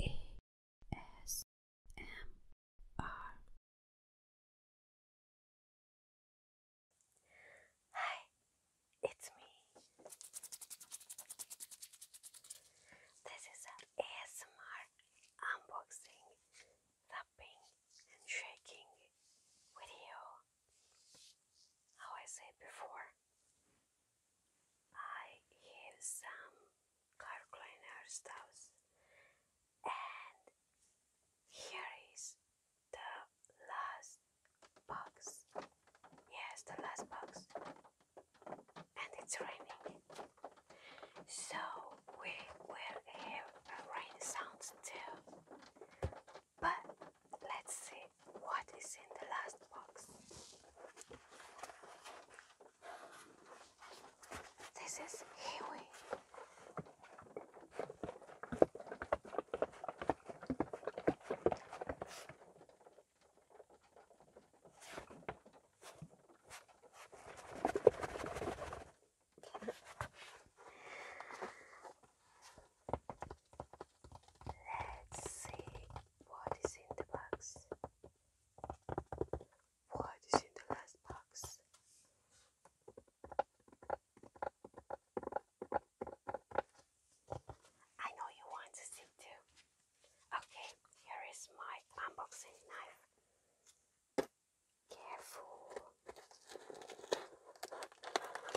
ASMR. Hi, it's me. This is an ASMR unboxing, tapping, and shaking video. How I said before, I have some car cleaner stuff and here is the last box. Yes, the last box. And it's raining. So we will have rain sound too. But Let's see what is in the last box. This is Kiwi. Let's see what is in the box. What is in the last box? I know you want to see too. Okay, here is my unboxing knife. Careful.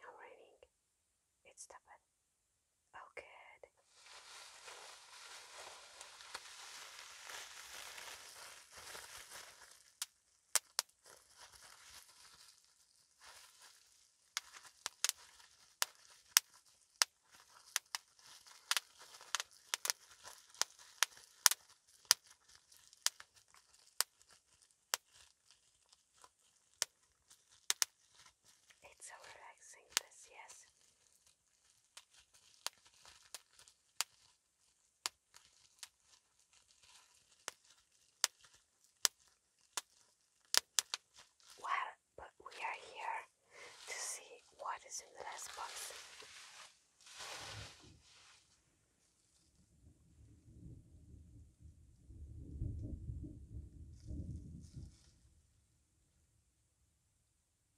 Now raining. It's stopped. Oh, good. It's so relaxing, yes. Well, but we are here to see what is in the last box.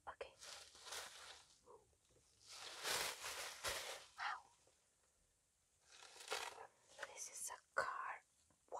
Okay. Wow. This is a car. Wow.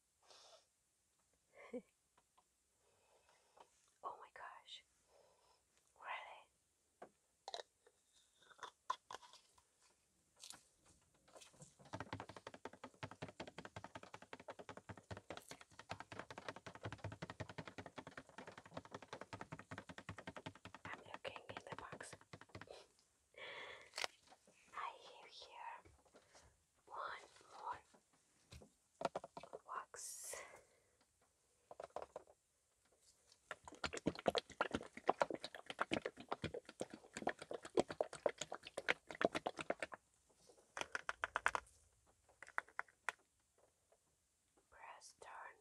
oh my gosh. Really? I'm looking in the box. I have here one more wax. Press turn.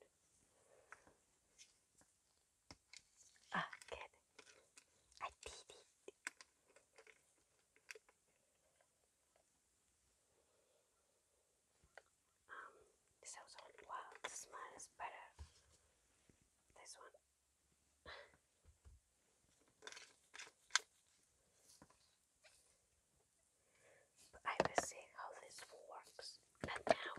Ah, good. I did it. Um, this also, wow, the smile is better. This one. I will see how this works. Not now.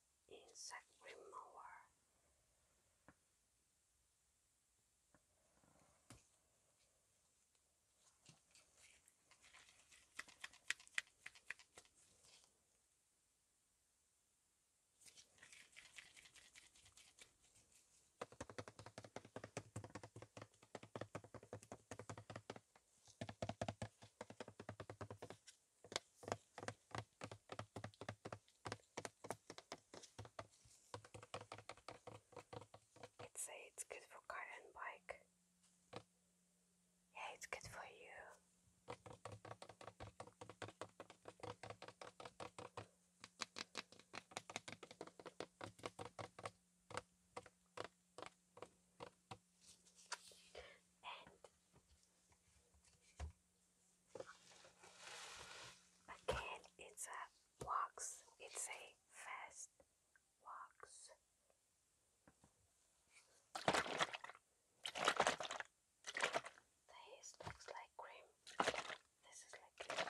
insect remover. It uh, it's good for car and bike. Yeah, it's good for you. Again, it's a wax. It's a fast wax. This looks like cream. This is like cream.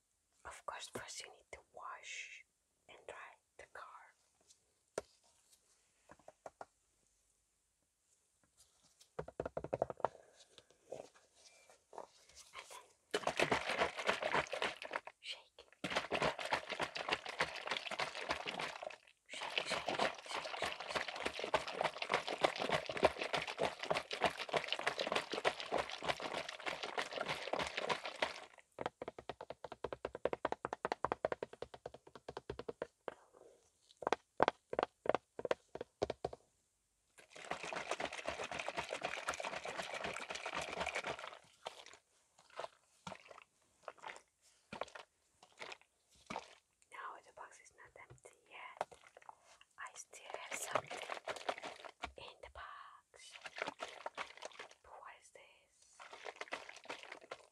Of course, first you need to wash and dry the car. Shake, shake, shake, shake, shake. Now the box is not empty yet. I still have something in the box tipo what is this?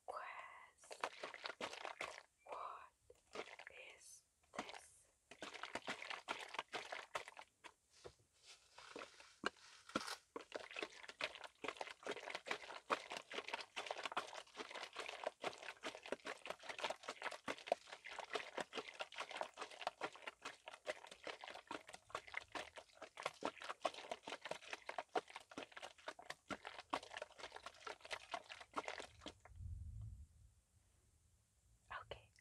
Quest. What is this? Okay,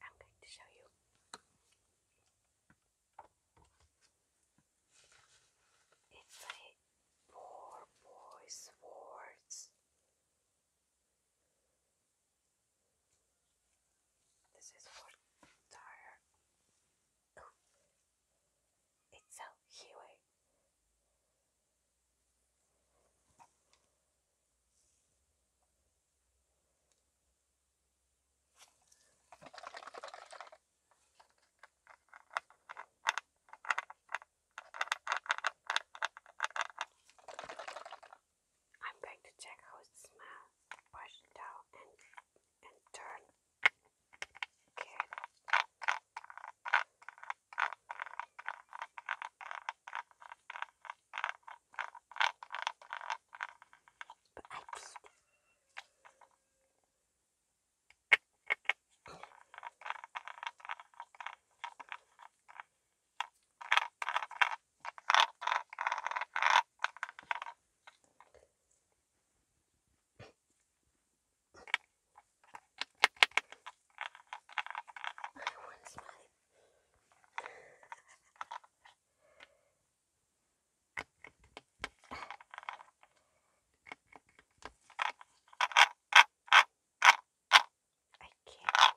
I'm going to show you. It's a poor boy's words. This is for tire. Oh, it's a highway. I'm going to check how it smells. Push it down and and turn. But I did want to smile. I can't.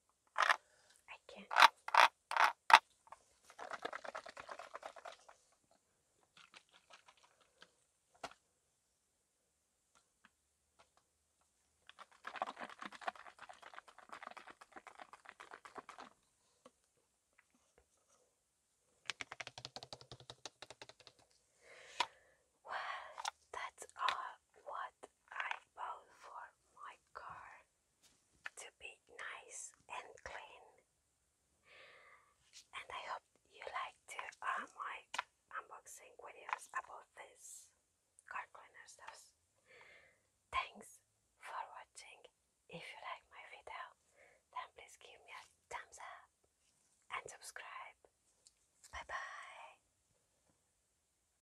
I can't. Well, that's all what I bought for my car to be nice and clean. And I hope you like to uh, my unboxing videos about this car cleaner Thanks for watching. If you like my video, then please give me a thumbs up and subscribe. Bye bye.